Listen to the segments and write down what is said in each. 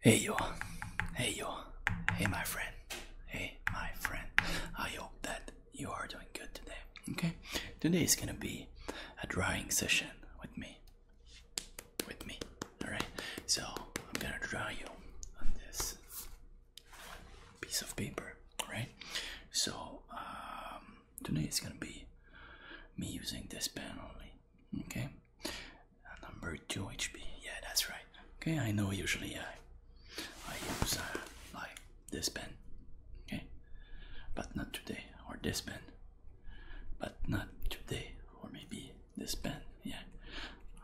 Hey yo, hey yo, hey my friend, hey my friend. I hope that you are doing good today. Okay, today is gonna be a drawing session with me. With me, all right. So I'm gonna draw you on this piece of paper, right? So um, today is gonna be me using this pen only. Okay, uh, number two HP. Yeah, that's right. Okay, I know usually I uh, I use like uh, this pen. Okay, but not today or this pen. But not today or maybe this pen. Yeah,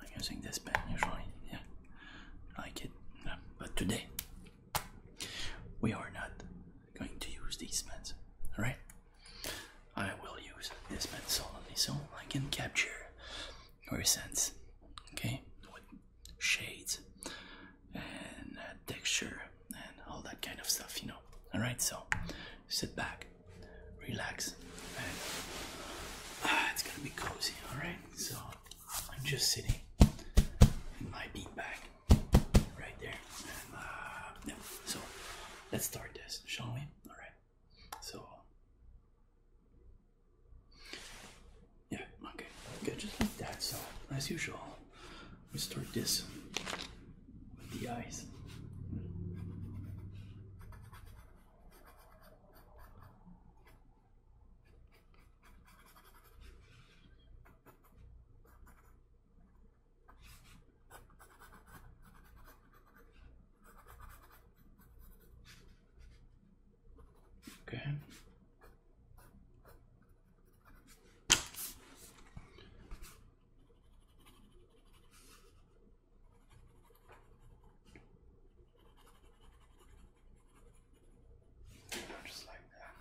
I'm using this pen usually. Yeah, like it. But today we are not going to use these pens. All right. I will use this pencil only so I can capture your sense, okay? With shades and uh, texture and all that kind of stuff, you know. Alright, so sit back, relax, and ah, it's gonna be cozy, alright? So I'm just sitting in my bean right there. Uh, so let's start this, shall we? all right. So, yeah, okay, good, just like that. So, as usual, we start this with the eyes. Okay. Just like that.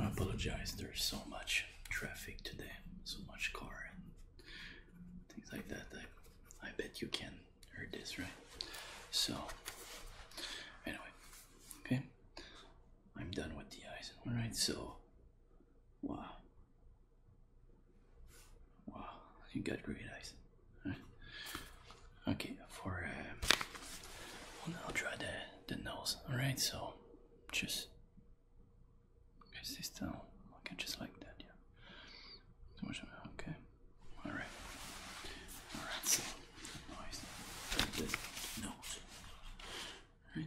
I apologize, there's so much traffic today, so much car and things like that. I, I bet you can hear this, right? So, anyway, okay, I'm done with the eyes. All right, so wow, Wow, you got great eyes. Okay, for uh, well, I'll try the the nose. All right, so just is this down? Okay, just like that, yeah. much. Okay, all right, all right. So nice. This nose, all right?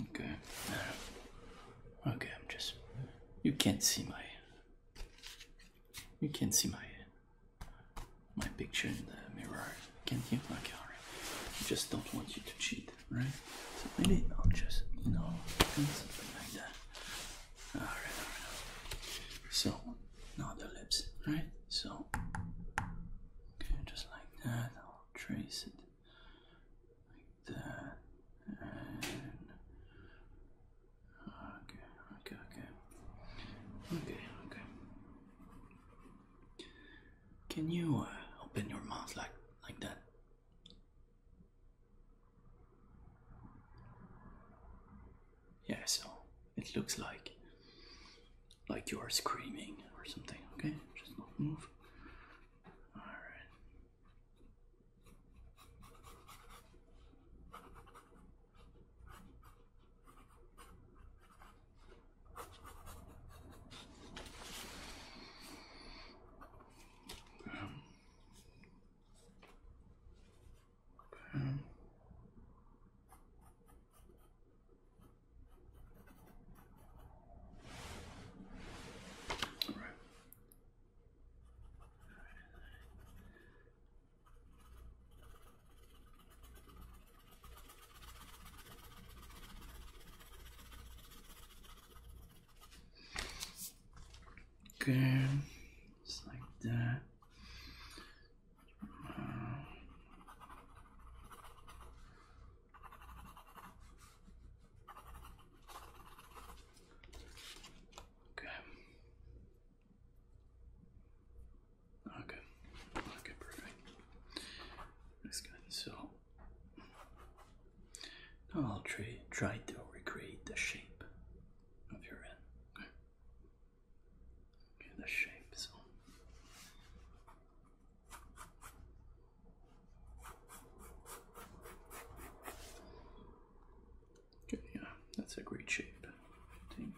Okay. Okay, I'm just. You can't see my. You can't see my. My picture in the mirror, can't you? Okay, alright. I just don't want you to cheat, right? So maybe I'll just, you know, something like that. Alright, alright. So, not the lips, right? So, Okay, just like that. I'll trace it like that. okay, okay, okay. Okay, okay. Can you uh, open your mouth like like that? Yeah, so it looks like like you are screaming or something. Okay, just move. All right. Um, okay. Um. Okay, just like that. Okay. Okay. Okay, perfect. This guy. So I'll try try to recreate the shape of your head the shape okay, yeah, that's a great shape, I think.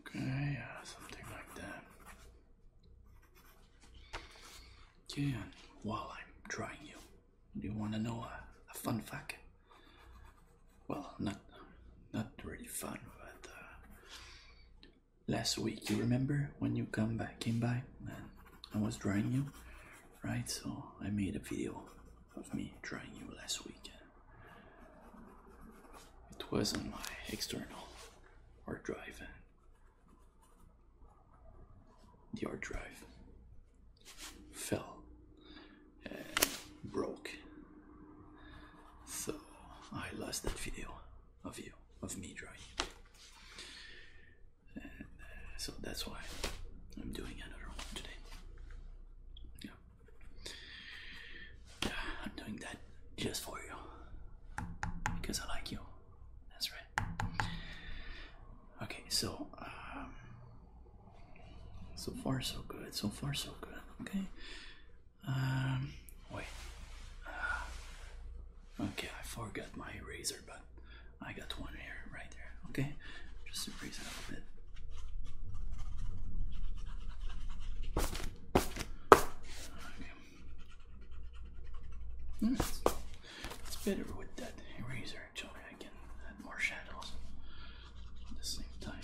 Okay, uh, something like that. Yeah, while I'm trying you, do you want to know a, fun fact? Well, not not really fun, but uh, last week you remember when you come by came by and I was drying you, right? So I made a video of me drying you last week. It was on my external hard drive. The hard drive fell and broke. So I lost that video of you, of me drawing. Uh, so that's why I'm doing another one today. I'm doing that just for you because I like you. That's right. Okay, so um, so far so good. So far so good. Okay. Um, wait. Ah. okay, I forgot my eraser, but I got one here, right? Okay, just to raise it a little bit. Okay. Hmm. It's, better with that eraser. Actually, I can add more shadows at the same time.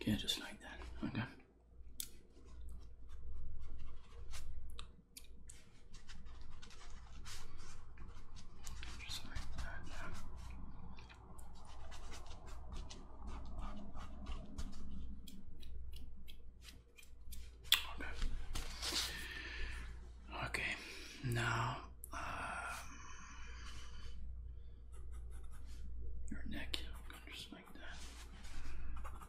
Okay, just like that. Okay. Just like Okay. Okay. Now, um, your neck. just like that.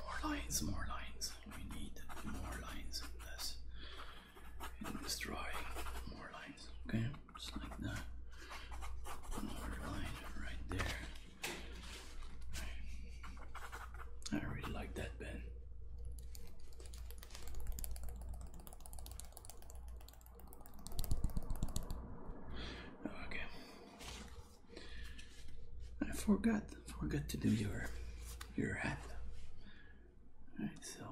More lines, more lines. We need more lines in this. In this drawing, more lines. Okay, just like that. More line right there. I really like that Ben. Oh, okay. I forgot forgot to do your your hat. All right, so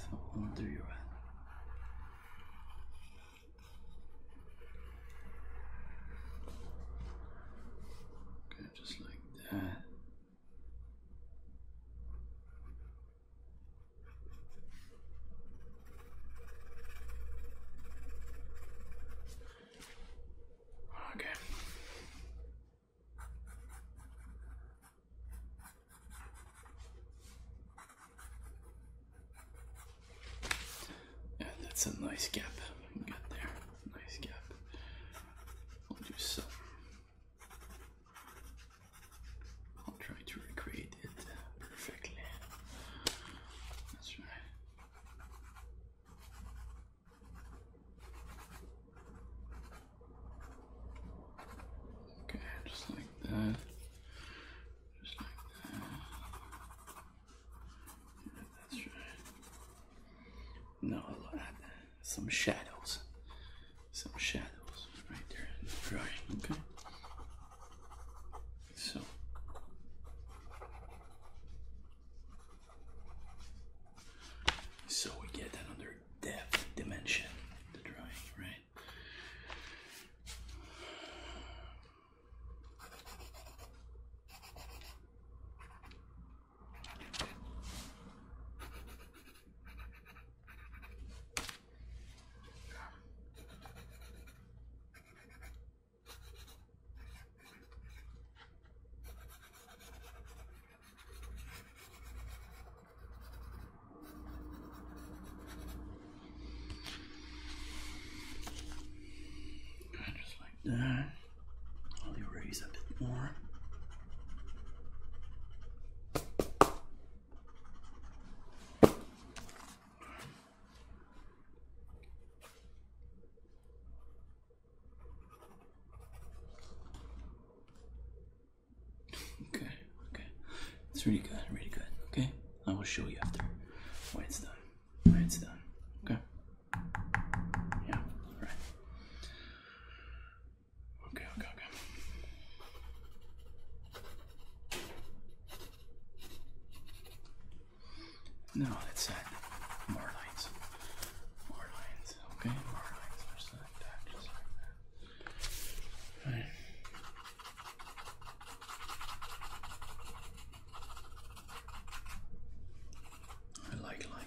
so I'll do your hat. Okay, just like that. Okay. Yeah, that's a nice gap. Good there. Nice gap. We'll do some I'll try to recreate it uh, perfectly. That's right. Okay, just like that. Just like that. that's right. Now some shadows some shadows right there in the drawing, okay? So so we get another depth dimension in the drawing, right? Just like that. I'll erase a bit more. Okay, okay. It's really good, really good. Okay? I will show you after why it's done. Why it's done. Okay? Yeah, all right. Okay, okay, okay. Now let's add more lines. More lines, okay? More lines, just like that, just like that. Right. I like lines.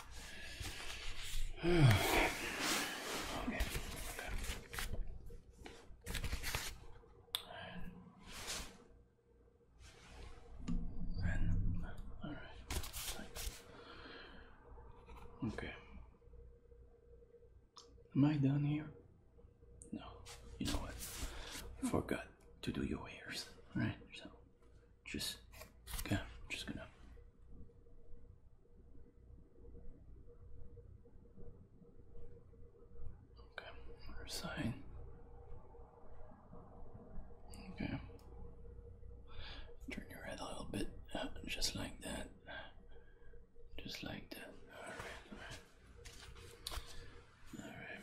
okay. Okay. And, all right. Okay. Am I done here? No. You know what? Forgot to do your ears. All right. So just okay, just gonna Okay, other Okay. Turn your head a little bit uh, just like that. Just like that. alright. Alright.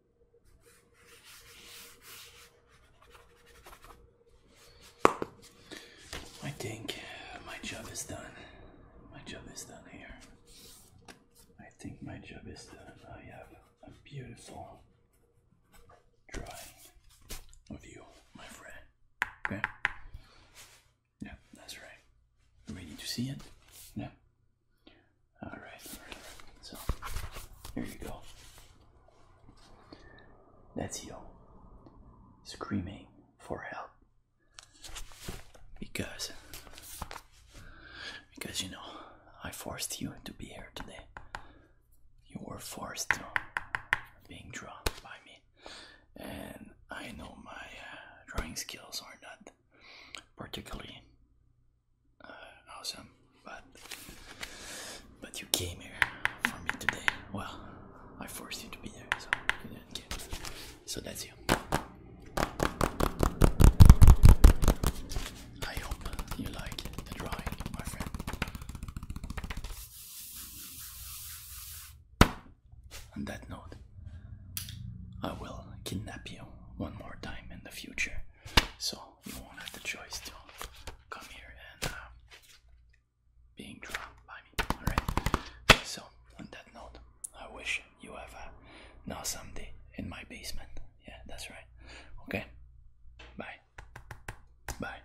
I think my job is done. My job is done here. I think my job is done. I have a beautiful drawing of you, my friend. Okay? Yeah, that's right. Ready to see it? Yeah. All right, so here you go. That's you screaming for help because because you know I forced you to be here today. You were forced to being drawn by me, and I know my uh, drawing skills are not particularly uh, awesome, but but you came here for me today. Well, I forced you to be there, so So that's you. I hope you like the drawing, my friend. On that note, I will kidnap you one more time in the future, so you won't have the choice to come here and uh, being dropped by me. All right. So on that note, I wish you have a nice awesome day in my basement. Yeah, that's right. Okay. Bye. Bye.